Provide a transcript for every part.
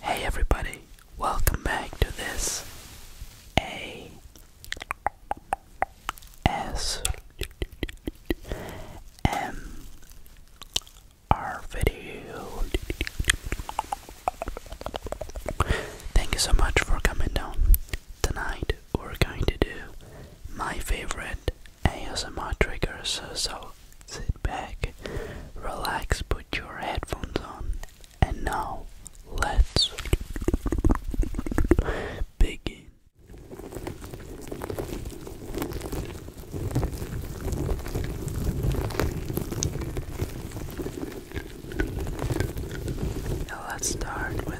Hey everybody, welcome back to this A S M R video. Thank you so much for coming down tonight we're going to do my favorite ASMR triggers. So sit back, relax, put your headphones on, and now let's begin. let's start with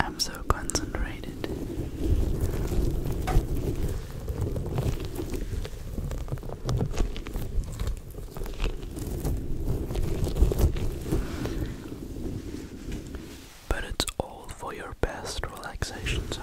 I'm so concentrated. But it's all for your best relaxation zone.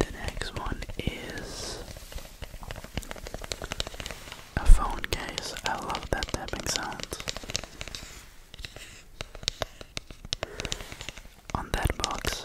The next one is a phone case. I love that tapping sound. On that box.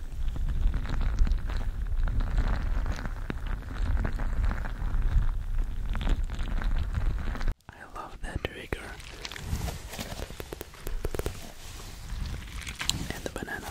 I love that trigger and the banana.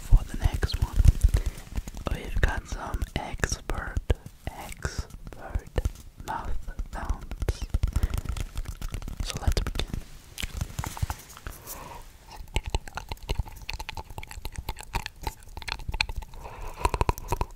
For the next one, we've got some expert, expert mouth sounds. So let's begin.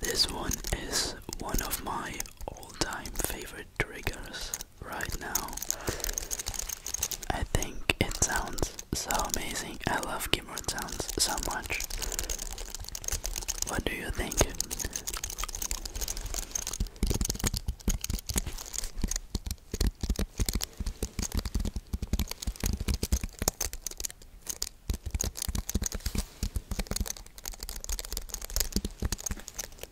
This one is one of my all-time favorite triggers right now. I think it sounds so amazing. I love keyboard sounds so much. What do you think?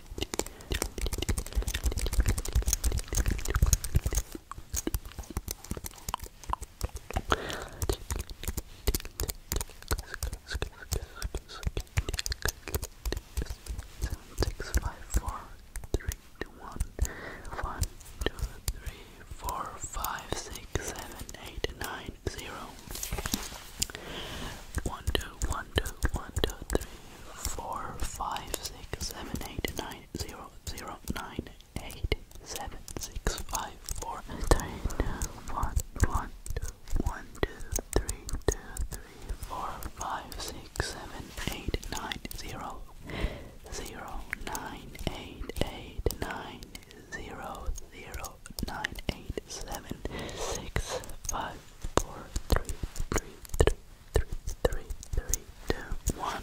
Seven, six, five, four, three, two, one, one, two, three, four, five, six, seven, eight, nine, zero. 1, 2, 1, 2, 1, 2, 3, 4, 5, 6, 7, 8, 9, 0, 0, 9, 8, 7, 6, 5, 4, 3, 2, 1, 1, 2, 1, 2, 3, 2, 3, 4, 5, 6, 7, 8, 9, 0, 0, 9, 8, 8, 9, 0, zero nine eight seven six five four three three three three three three two one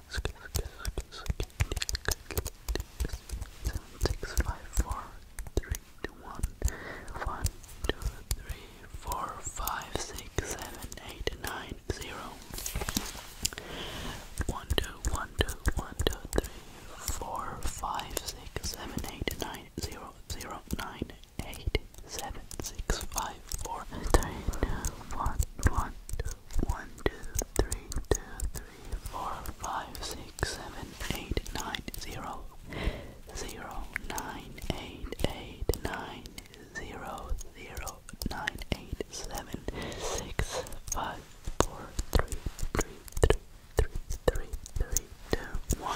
seven six five four three two one one two three four five six seven eight nine zero one two one two one two three four five six seven eight nine zero zero nine eight seven six five four three two one one two 1, 2, 3, 4, 5, 6, 7, 8, 9, 0, 0, 9, 8, 8, 9, 0, 0, 9, 8, 7, 6, 5, 4, 3, 3, 3, 2, 1.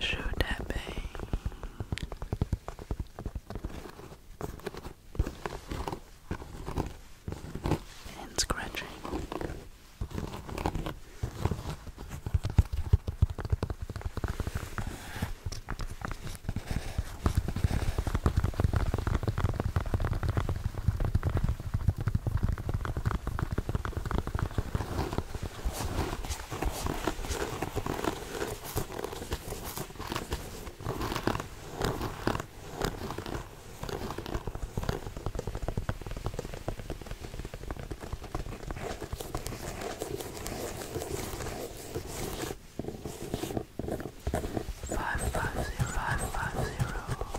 Show tapping. And scratching. Five five zero five five zero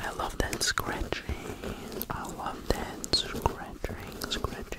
I love that scratching. I love that scratching, scratching.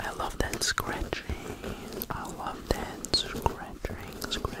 I love that scratching. I love that scratching, scratching.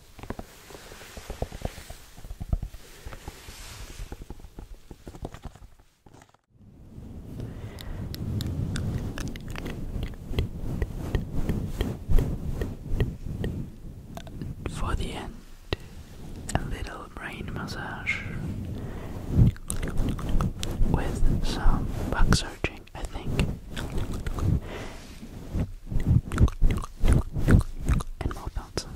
For the end, a little brain massage with some back searching, I think, and more out.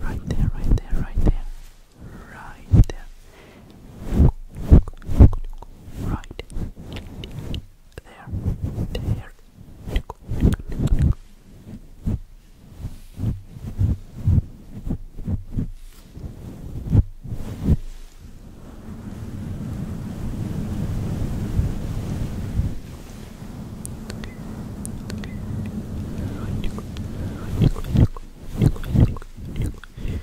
Right there, right there, right there right, right there, there. Right, right, right,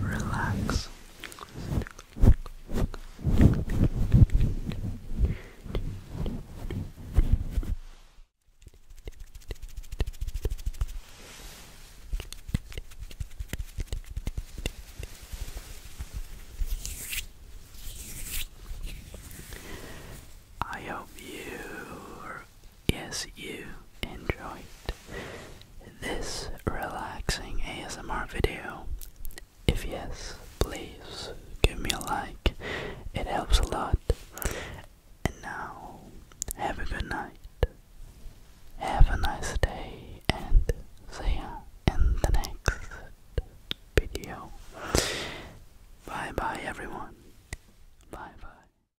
relax. I hope you yes, you enjoyed this relaxing ASMR video. If yes, please give me a like, it helps a lot. And now, have a good night, have a nice day, and see ya in the next video. Bye bye, everyone. Bye bye.